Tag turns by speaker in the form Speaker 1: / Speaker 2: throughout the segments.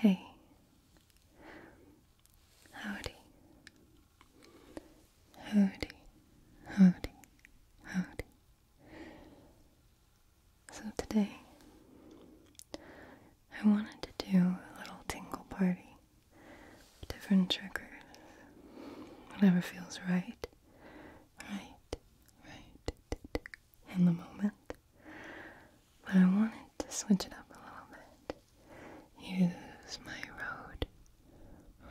Speaker 1: Hey Howdy Howdy Howdy Howdy So today I wanted to do a little tingle party. Different triggers. Whatever feels right. Right. Right. In the moment. But I wanted to switch it up a little bit. Use my road.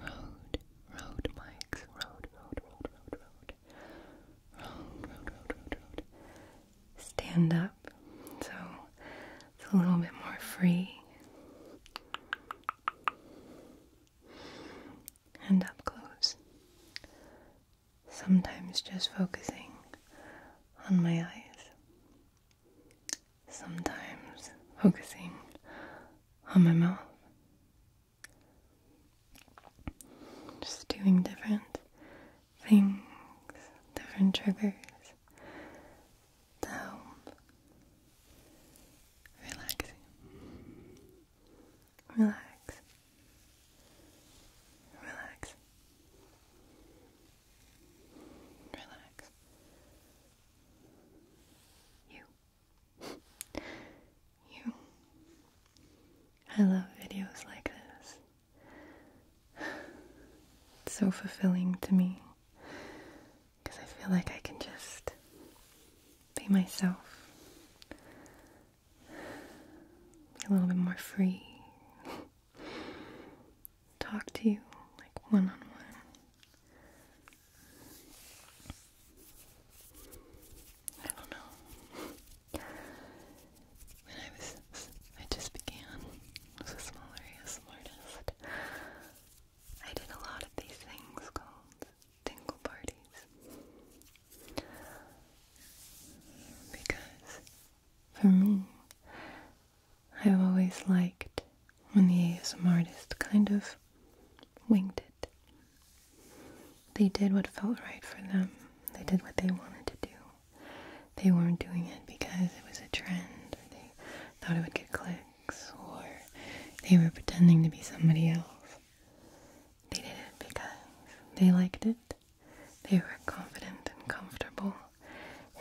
Speaker 1: Road. Road mics. Road. Road. Road. Road. Road. Road. Road. Road. Road. road stand up. So it's a little bit more free. And up close. Sometimes just focusing on my eyes. Sometimes focusing on my mouth. Just doing different things, different triggers to help relax Relax. Relax. Relax. You. you. I love videos like this. It's so fulfilling to me because I feel like I can just be myself, be a little bit more free, talk to you like one on one. I don't know when I was, I just began as a smaller ASM artist, I did a lot of these things called tingle parties. Because for me, I've always liked when the ASM artist kind of winged it. They did what felt right for them. They did what they wanted to do they weren't doing it because it was a trend or they thought it would get clicks or they were pretending to be somebody else. They did it because they liked it, they were confident and comfortable,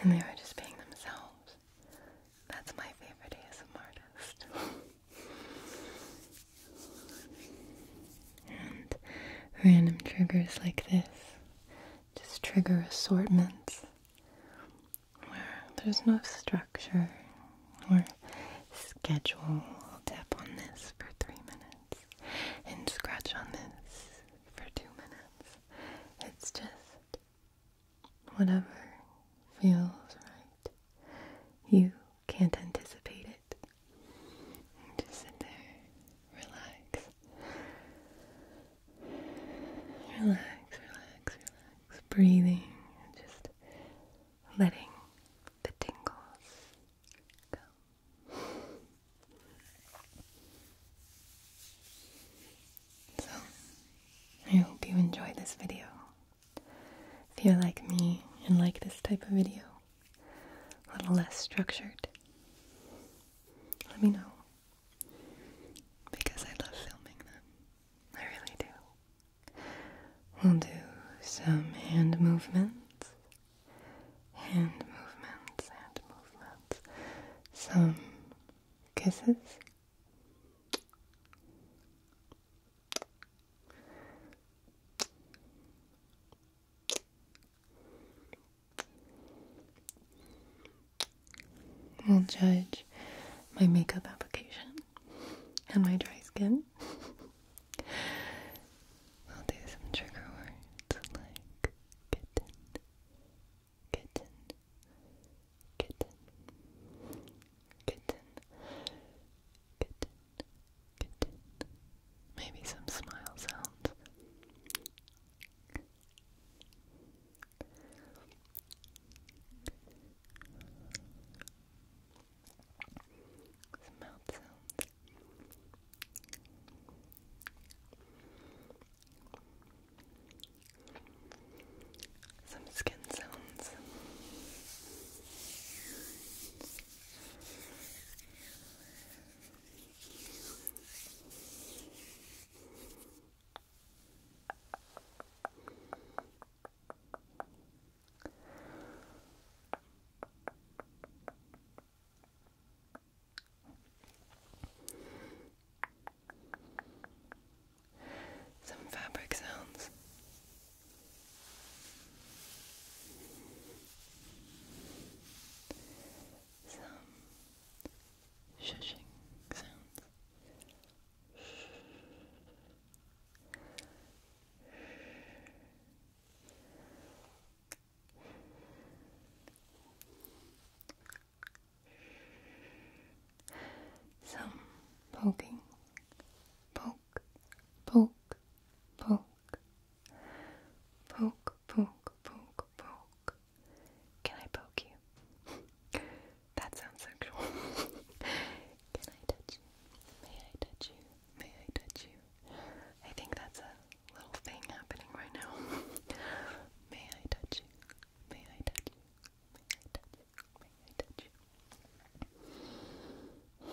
Speaker 1: and they were just being themselves. That's my favorite ASMR artist. and random triggers like this just trigger assortments where there's no structure or schedule. tap on this for three minutes and scratch on this for two minutes. It's just whatever feels right. You can't anticipate it. Just sit there, relax. Relax, relax, relax. Breathing and just letting the tingles go. So, I hope you enjoyed this video. If you're like me and like this type of video, a little less structured, let me know because I love filming them. I really do. We'll do some hand movements, hand movements, hand movements, some kisses will judge my makeup application and my dry skin. I'll do some trigger words like kitten, kitten, kitten, kitten, kitten, kitten. Maybe some smile sounds. Some mouth sounds. Some skin sounds. Some some fabric sounds. Some shushing sounds. Some poking, poke, poke, poke, poke, poke, poke, poke, can I poke you? that sounds sexual. Can I touch you? May I touch you? May I touch you? I think that's a little thing happening right now. May I touch you? May I touch you? May I touch you? May I touch you?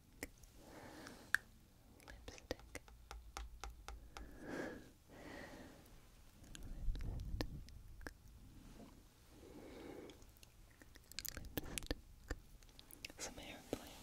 Speaker 1: Lipstick. Lipstick. Lipstick. Some airplane. Lipstick.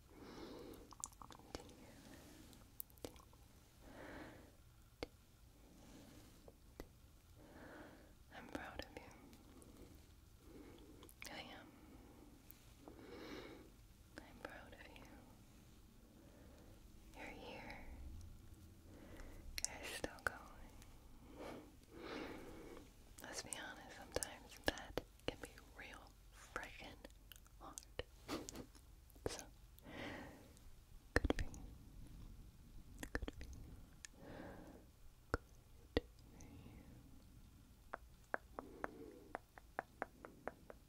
Speaker 1: I'm proud of you. I am. I'm proud of you. You're here. you still going. Let's be honest, sometimes that can be real freaking hard. so, Good for you. Good for you. Good for you. Good for you.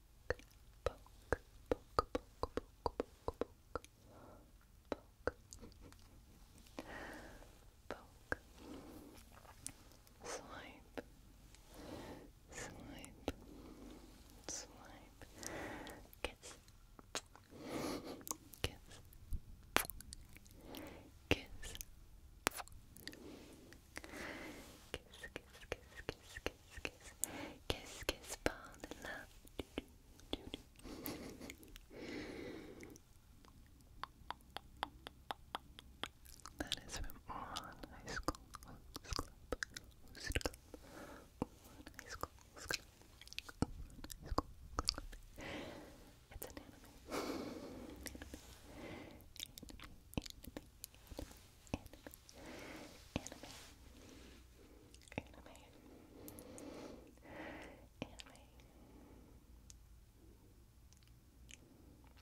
Speaker 1: poke, poke, poke, poke, poke, poke, poke, poke, swipe, swipe, swipe, kiss, kiss, kiss, kiss, kiss, kiss, kiss, kiss kiss, kiss, kiss, kiss, fall in love. that is from On High School Club. Host High School Club. It's an anime, anime.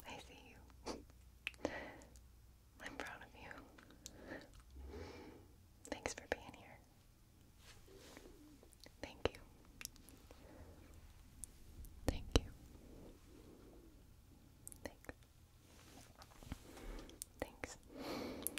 Speaker 1: I see you. I'm proud of you. Thanks for being here. Thank you. Thank you. Thanks. Thanks. Thanks. Thanks.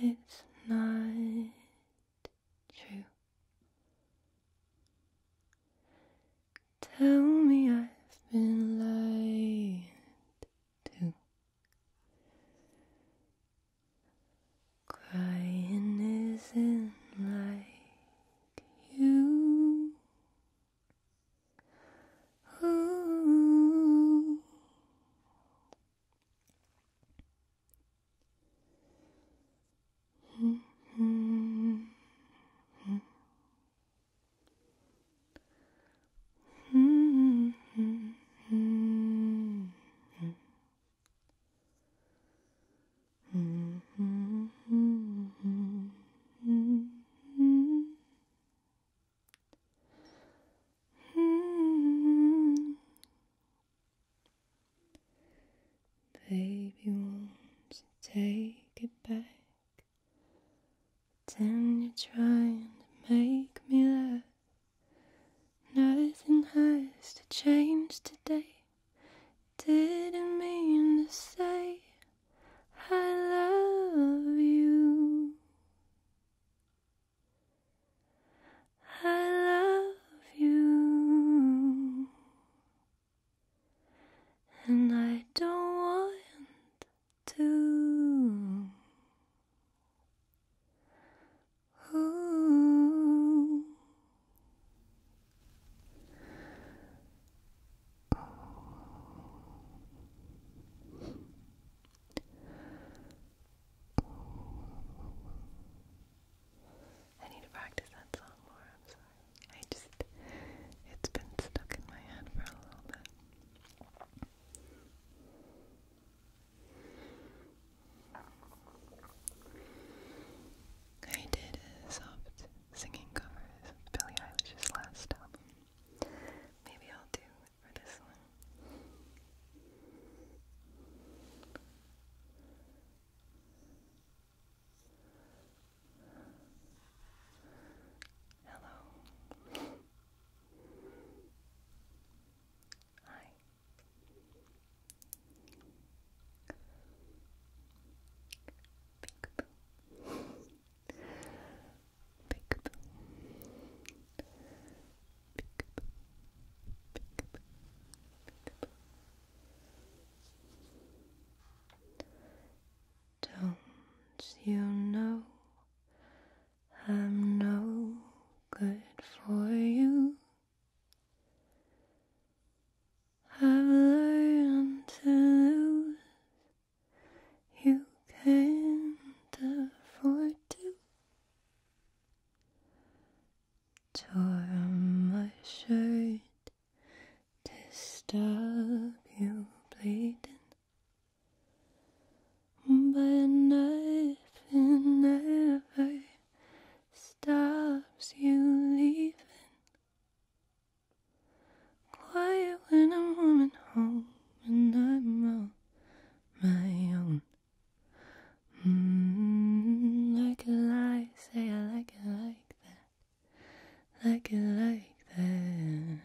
Speaker 1: It's not true. Tell me I've been lied to. Crying isn't like you. Ooh. Mm -hmm. Mm -hmm. Mm -hmm. hmm Hmm. Baby, won't you take it back? Then you're trying to make me laugh. Nothing has to change today. Didn't mean to say I love you. I love you, and I don't want to. I need to practice that song more, I'm sorry. I just, it's been stuck in my head for a little bit. I did a soft singing covers of Billie Eilish's last album. Maybe I'll do for this one. Hello. Hi. Peekaboo. Don't you know I'm no good for you? I've learned to lose you can't afford to tore my shirt to stop you bleeding but nothing ever stops you leaving Quiet when I'm warming home and I'm my own. Mm, like a lie, say I like it like that. Like it like that.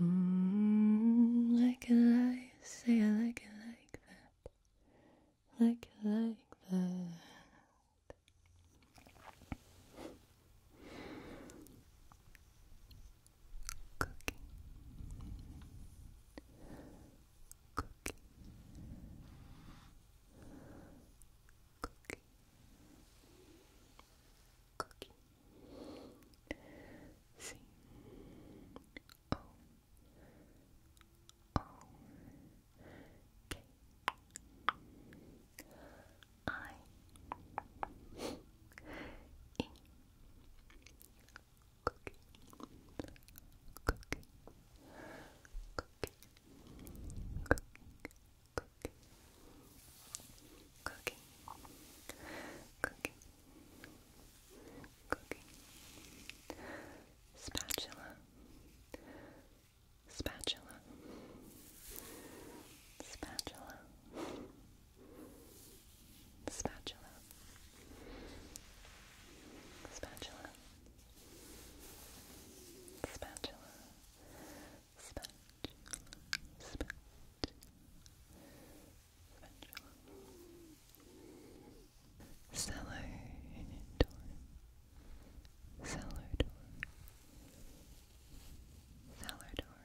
Speaker 1: Mm, like a lie, say I like it like that. Like it like that. Cooking. Cooking. Cooking. Cooking. C O O K I E Cookie Cookie Cookie Cookie Cookie Cookie Cookie Spatula Spatula Spatula Spatula spatula, spatula, spatula, spatula, spatula, spatula. Salodor, Salodor, Salodor.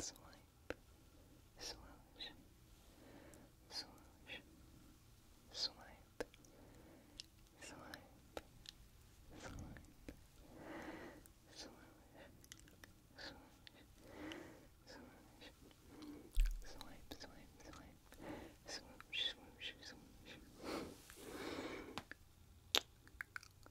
Speaker 1: swipe, swoosh, swoosh, swipe, swipe, swipe, swoosh, swoosh, swoosh, swipe, swipe, swipe, swoosh, swoosh, swoosh.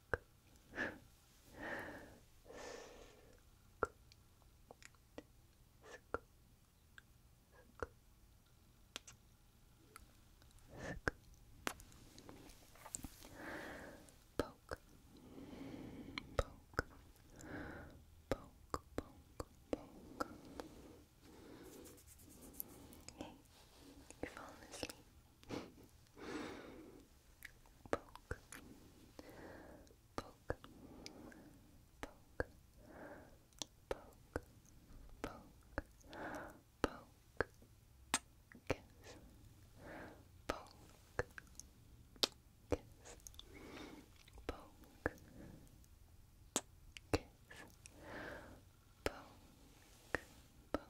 Speaker 1: poke, poke, poke, poke, poke. Hey, you're asleep poke, poke, poke, poke, poke, poke, kiss, poke, kiss, poke, kiss, poke, poke, poke,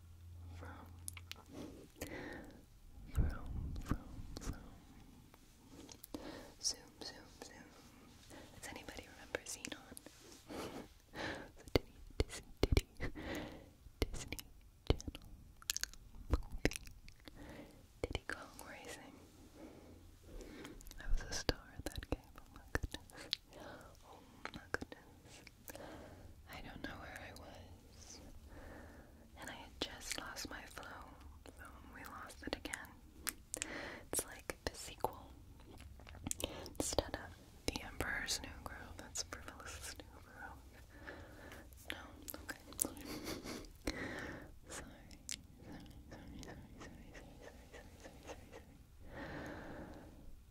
Speaker 1: vroom, vroom, vroom. Zoom, zoom, zoom. Does anybody remember Xenon? the Disney, Disney, Disney Channel Diddy Kong Racing. I was a star that game, Oh my goodness. I don't know where I was. And I had just lost my flow, so we lost it again. It's like the sequel. Instead of The Emperor's New Groove, that's Frivolous New Groove. No, okay, Sorry, sorry, sorry, sorry, sorry, sorry, sorry, sorry, sorry, sorry.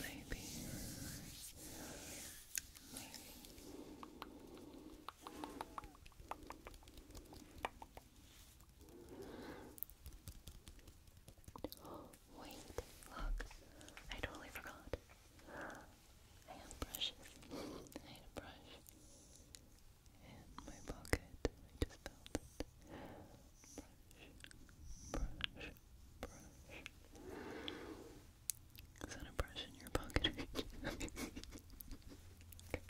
Speaker 1: Maybe. Wait, look. I totally forgot. I have brushes. I had a brush in my pocket. I just felt it. Brush, brush, brush. Is that a brush in your pocket?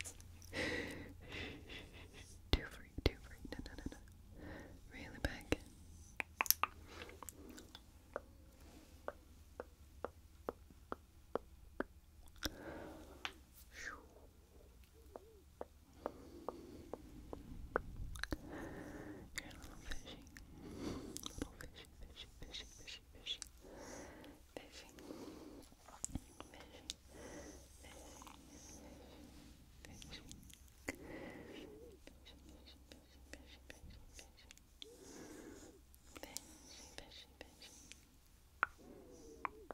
Speaker 1: too free, too free. No, no, no, no. Really back you're a little fishy. Little fishy, fishy, fishy, fishy, fishy. Fishy. Fishy. Fishy. Fishy. Fishy. Fishy, fishy, fishy, fishy, fishy. Fishy, fishy, fishy.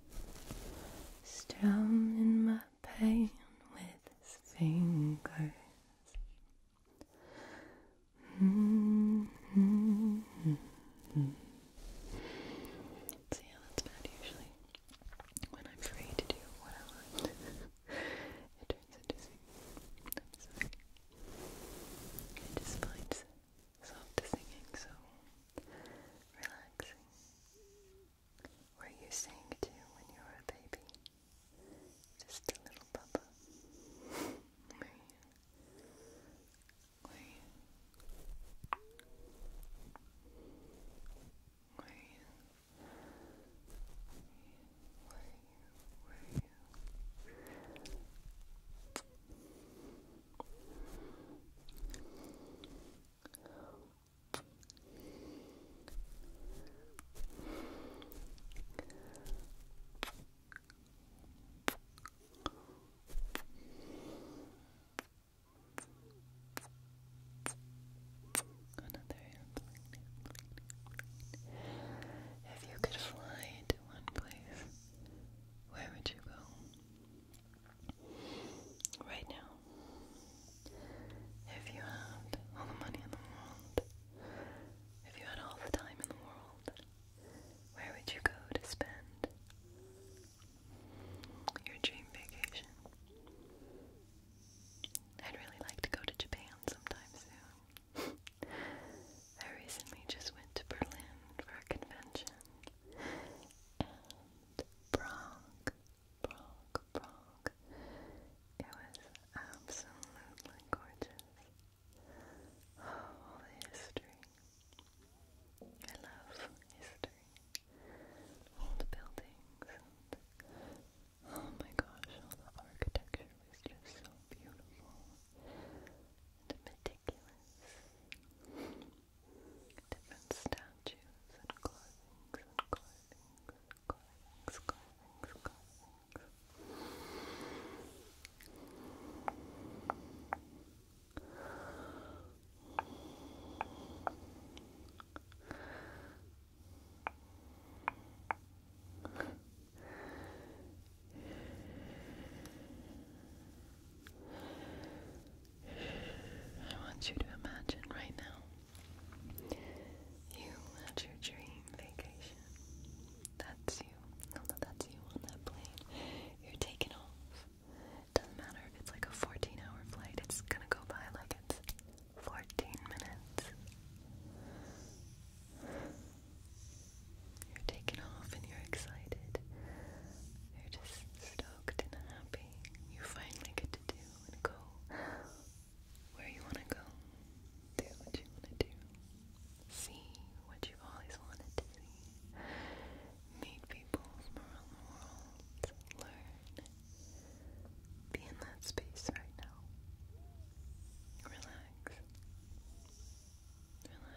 Speaker 1: strumming my pain with his fingers. Mm -hmm. that's bad usually. When I'm free to do what I want, it turns into singing soft singing, so relaxing. Were you saying to when you were a baby? Just a little papa. Were you? Were you? Were you? Were you? Were you? If you could fly to one place, where would you go? right now. If you had all the money in the world, if you had all the time in the world, where would you go to spend your dream vacation? I'd really like to go to Japan sometime soon. I recently just went to Berlin for a convention, Bronk, Bronk, Bronk. It was absolutely gorgeous. all the history. I love history. Old buildings. oh my gosh, all the architecture was just so beautiful and meticulous different statues and clothings and clothings and clothings, clothings, clothings. I want you to imagine right now you at your dream vacation. That's you. No, no, that's you on that plane. You're taking off. Doesn't matter if it's like a 14 hour flight, it's gonna go by like it's 14 minutes. You're taking off and you're excited. You're just stoked and happy. You finally get to do and go where you want to go. Do what you want to do. See what you've always wanted to see. Meet people from around Learn. Be in that space right now. Relax. Relax.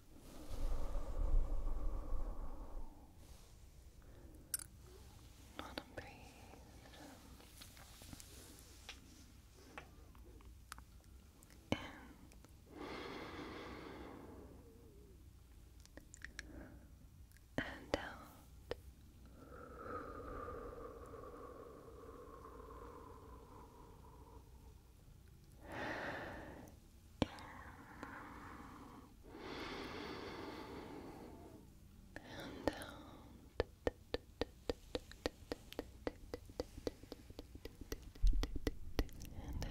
Speaker 1: Let him breathe. In. And out and out. And out. And out. And out.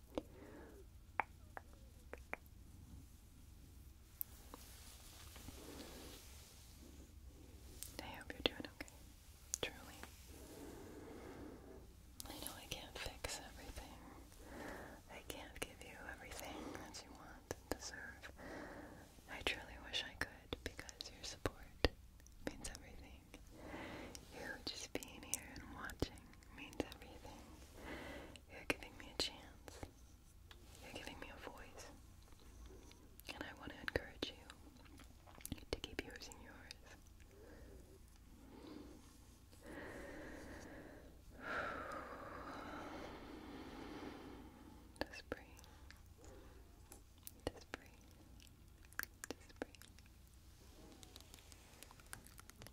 Speaker 1: I hope you're doing okay. Truly. I know I can't fix everything. I can't give you everything that you want and deserve. I truly wish I could because your support means everything. You just being here and watching means everything. You're giving me a chance. You're giving me a voice. And I want to encourage you to keep using yours. Just breathe. Just breathe. Just breathe. Poke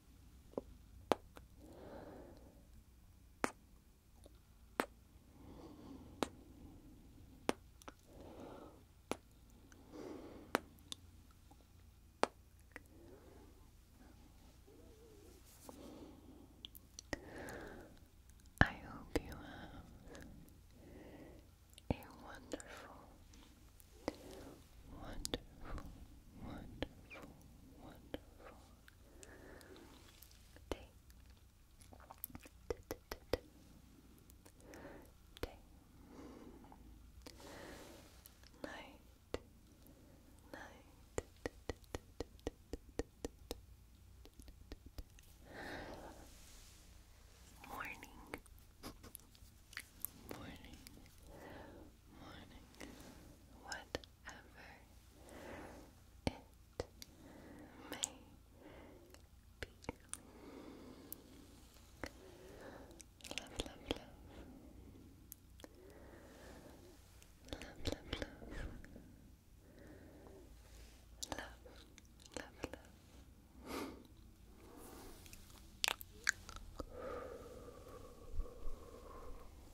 Speaker 1: I hope you have a wonderful wonderful, wonderful, wonderful day. Day. Night. Night. Morning. Morning. Morning. What it may be. Love, love, love. Love, love, love. Love, love, love.